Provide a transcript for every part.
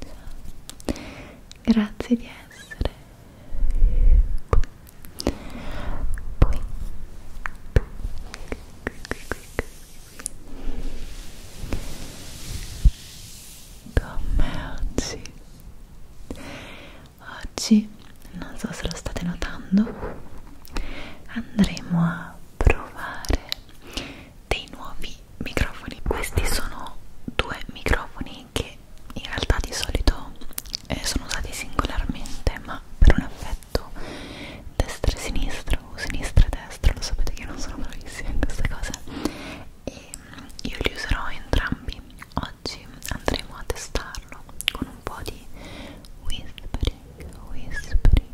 Ciao. Grazie di essere qui. Qui. Con me oggi. Oggi, non so se lo state notando, andremo a provare dei nuovi microfoni questi sono due microfoni che in realtà di solito eh, sono usati singolarmente ma per un affetto destra e sinistra o sinistra e destra lo sapete che non sono bravissima in queste cose e mm, io li userò entrambi oggi andremo a testarlo con un po' di whispering whispering,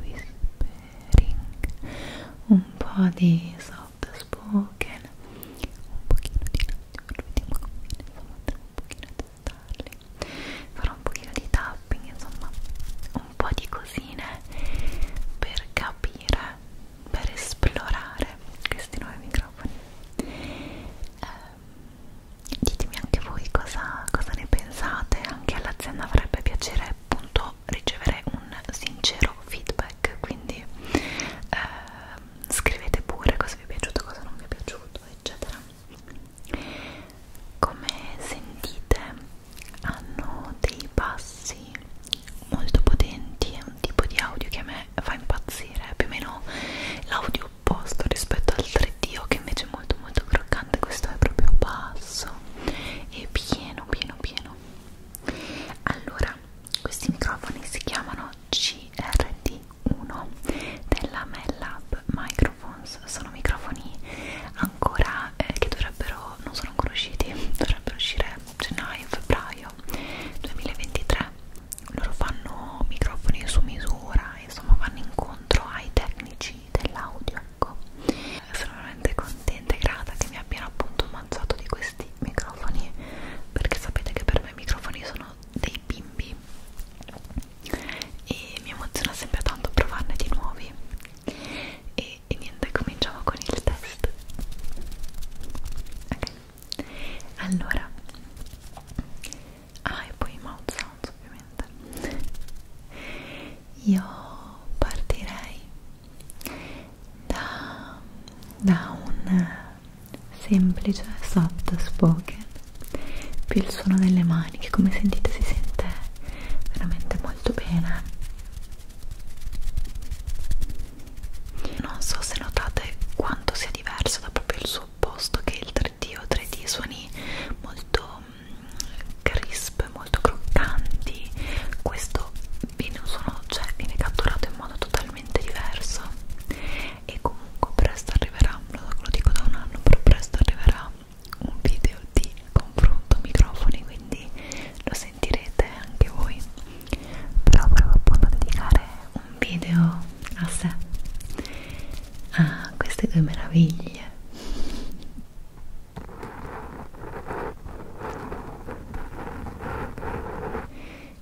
whispering un po' di soft spoken un pochino di latte, vediamo come insomma devo un pochino testarli farò un pochino di tapping, insomma un po' di cosine per capire, per esplorare questi nuovi microfoni eh, ditemi anche voi cosa, cosa ne pensate anche all'azienda avrebbe piacere appunto ricevere un sincero feedback quindi eh, scrivete pure cosa vi è piaciuto cosa non vi è piaciuto eccetera come sentite hanno dei bassi molto potenti è un tipo di audio che a me fa impazzire più o meno l'audio opposto rispetto al 3D che invece è molto molto croccante questo è proprio basso e pieno pieno pieno allora questi microfoni si chiamano CRT1 della Mellab Microphones sono microfoni ancora eh, che dovrebbero non sono ancora usciti dovrebbero uscire gennaio febbraio 2023 loro fanno microfoni su misura insomma vanno incontro ai tecnici dell'audio sacco sono veramente contenta e grata che mi abbiano appunto mangiato di questi microfoni perché sapete che per me i microfoni sono dei bimbi e mi emoziona sempre tanto provarne di nuovi e, e niente cominciamo con il test ok allora ah e poi i mouse Jones ovviamente io partirei da, da un semplice soft spoken più il suono delle mani che come sentite si sente veramente molto bene non so se notate quanto sia diverso da proprio il suo opposto che il 3D o 3D suoni molto crisp, molto croccanti questo viene, sono, cioè, viene catturato in modo totalmente diverso e comunque presto arriverà, lo dico da un anno però presto arriverà un video di confronto microfoni quindi lo sentirete anche voi però volevo appunto dedicare un video a sé a queste due meraviglie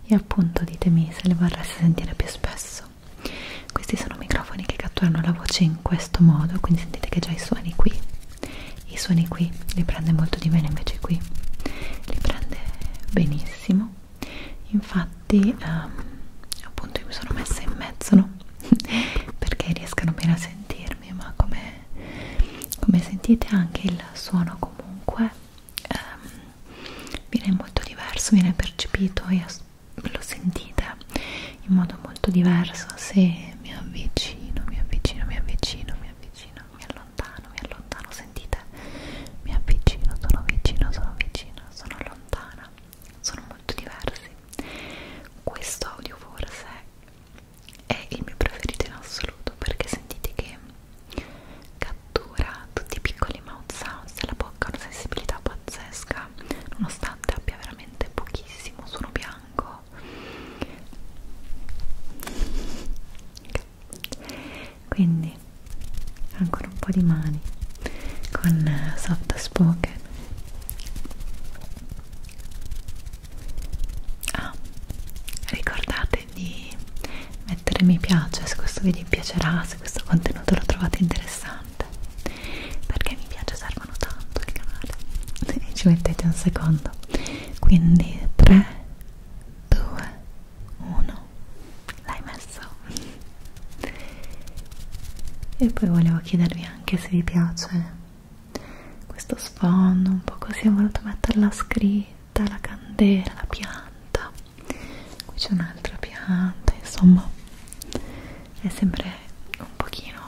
e appunto ditemi se le vorreste sentire più spesso questi sono microfoni che catturano la voce in questo modo quindi sentite che già i suoni qui i suoni qui li prende molto di meno invece qui li prende benissimo infatti ehm, appunto io mi sono messa in mezzo no? perché riescano bene a sentirmi ma come, come sentite anche il suono comunque ehm, viene molto diverso viene percepito e lo sentite in modo molto diverso se mi avvicino mi avvicino mi avvicino mi avvicino mi allontano mi allontano sentite mi avvicino sono vicino sono vicino sono lontana sono molto diversi questo audio forse è il mio preferito in assoluto perché sentite che cattura tutti i piccoli mouth sounds della bocca una sensibilità pazzesca nonostante abbia veramente pochissimo suono bianco okay. quindi ancora un po' di mani con soft spoken Ah, ricordate di mettere mi piace se questo video vi piacerà, se questo contenuto lo trovate interessante perché mi piace servono tanto il canale e ci mettete un secondo quindi 3 2 1 l'hai messo e poi volevo chiedervi anche anche se vi piace questo sfondo un po' così ho voluto mettere la scritta, la candela, la pianta qui c'è un'altra pianta insomma è sempre un pochino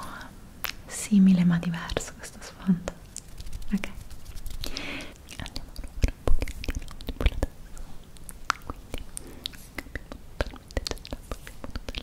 simile ma diverso questo sfondo ok andiamo allora un pochino di notte quindi abbiamo veramente già un po' di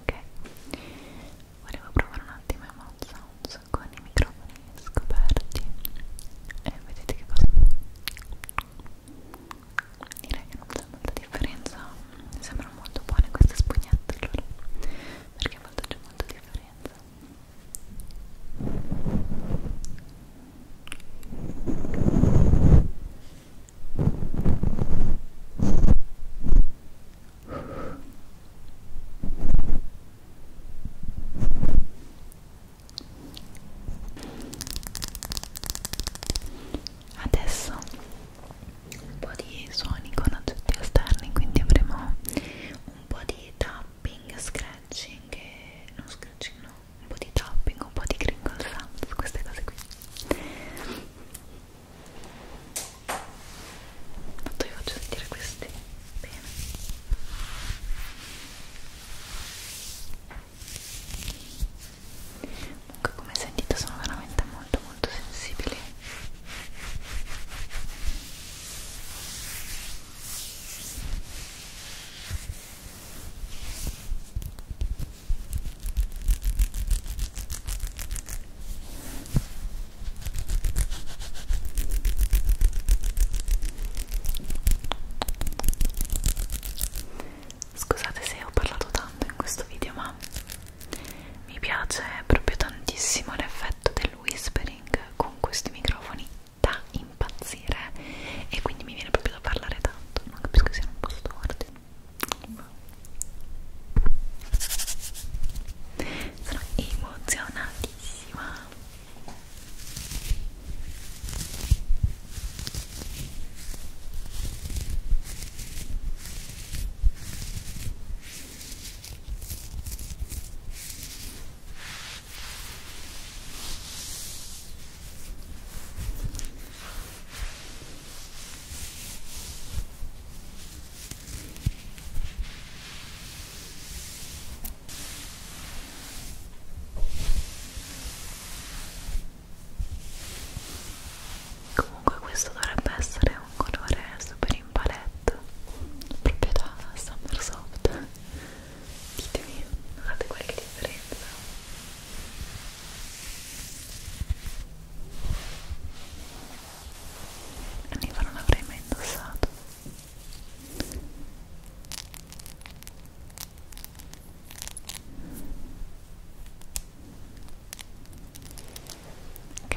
ok volevo provare un attimo i mouth sounds con i microfoni scoperti e vedete che cosa direi che non c'è molta differenza mi sembrano molto buone queste spugnette allora perché a volte c'è molta differenza ok Adesso un po' di suoni con oggetti esterni, quindi avremo un po' di tapping, scratching e non scratching, parmigiano, un po' di topping, un po' di crinkle sounds, queste cose qui Tanto vi faccio sentire questi bene Comunque come sentite sono veramente molto molto sensibili Ora Scusate se ho parlato tanto in questo video, ma mi piace proprio tantissimo l'effetto del whispering con questi microfoni da impazzire e quindi mi viene proprio bisogna parlare tanto, non capisco che siano un po' storti ma... sono emozionatissima Comunque questo dovrebbe essere un colore super in palette, proprio da Summersoft. Ditemi, notate qualche differenza? L'univa non l'avrei mai indossato ok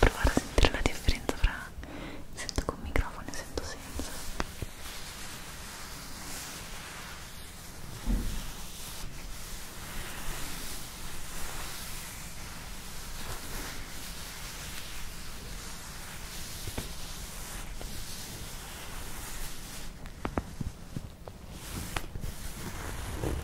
provare a sentire la differenza fra sento con microfono y sento senza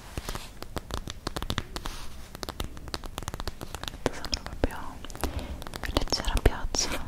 sembra proprio leggera pioggia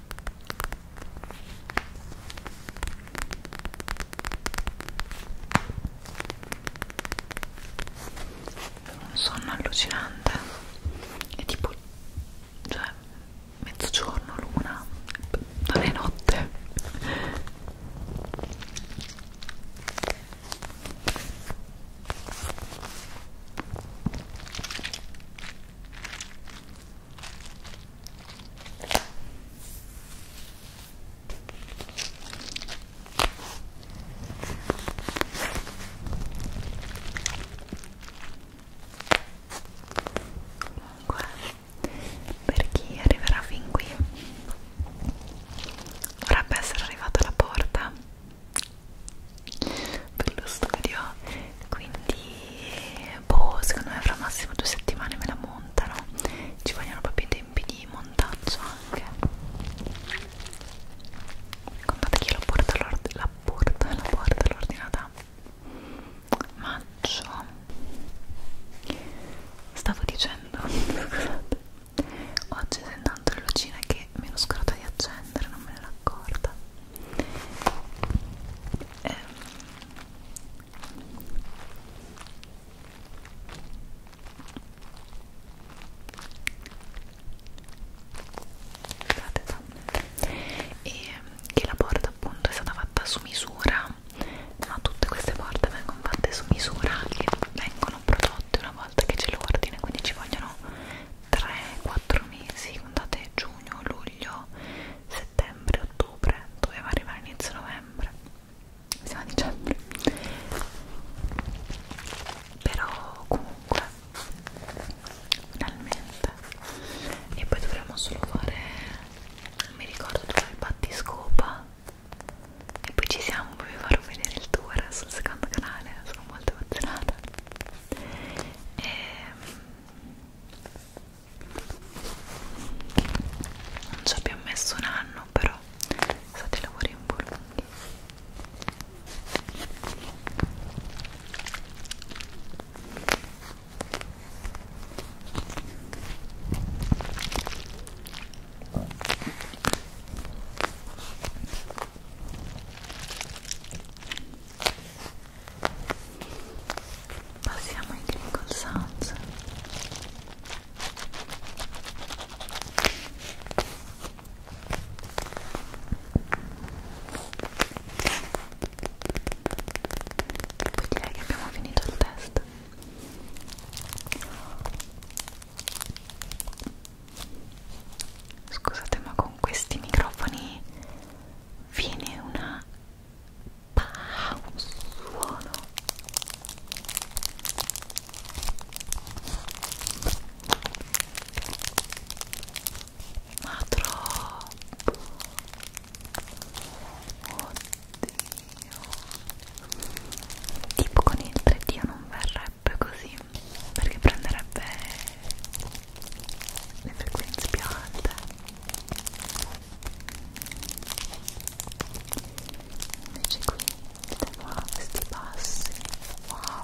un sonno allucinante è tipo cioè mezzogiorno luna non è notte Comunque, per chi arriverà fin qui, dovrebbe essere arrivata alla porta per lo studio quindi boh secondo me fra massimo due settimane me la montano ci vogliono proprio i tempi di montaggio anche contate che io la porto all'ordinata all maggio stavo dicendo scusate oggi sento tanto le lucine che mi ero scordata di accendere non me ne ero accorta eh, e ehm, che la porta appunto è stata fatta su misura ma tutte queste porte vengono fatte su misura che vengono prodotte una volta che c'è l'ordine quindi ci vogliono 3-4 mesi contate giugno, luglio settembre, ottobre, doveva arrivare inizio novembre, siamo a dicembre, però comunque finalmente e poi dovremmo solo fare, non mi ricordo dove il battiscopa e poi ci siamo, poi vi farò vedere il tour sul secondo canale, sono molto emozionata e ehm, non ci abbiamo messo un anno però sono stati lavori un po' lunghi passiamo ai crinkle sounds poi direi che abbiamo finito il test Scusate ma con questi microfoni viene una pa, un suono ma troppo oddio tipo con il 3D non verrebbe così perché prenderebbe and the greens beyond them. Magically, the walls the bus. Wow.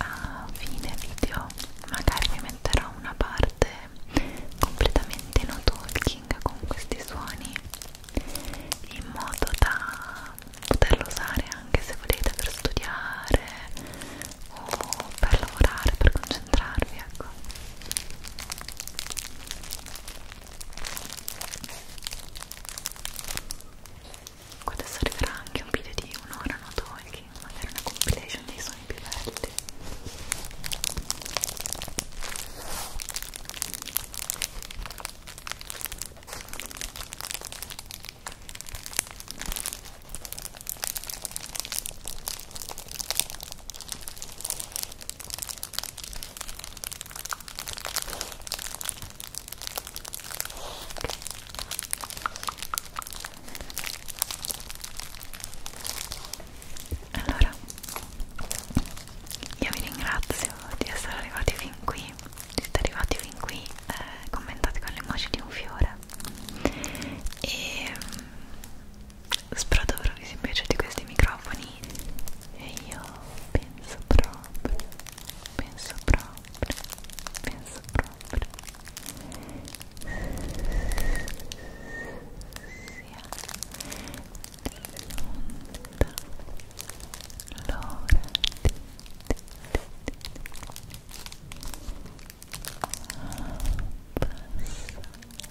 a fine video magari vi metterò una parte completamente no talking con questi suoni in modo da poterlo usare anche se volete per studiare o per lavorare per concentrarvi concentrarvi ecco Qua adesso arriverà anche un video di un'ora no talking, magari una compilation dei suoni più belli allora, io vi ringrazio di essere arrivati fin qui. Se siete arrivati fin qui, eh, commentate con le emoji di un fiore. E Sprodovrus invece di questi microfoni e io penso proprio, penso proprio, penso proprio sia l'ora di passare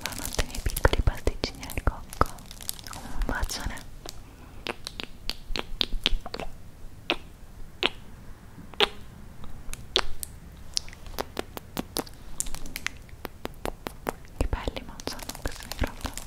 Buonanotte miei piccoli pasticcini al cocco Un bacione Che belli ma sono questi microfoni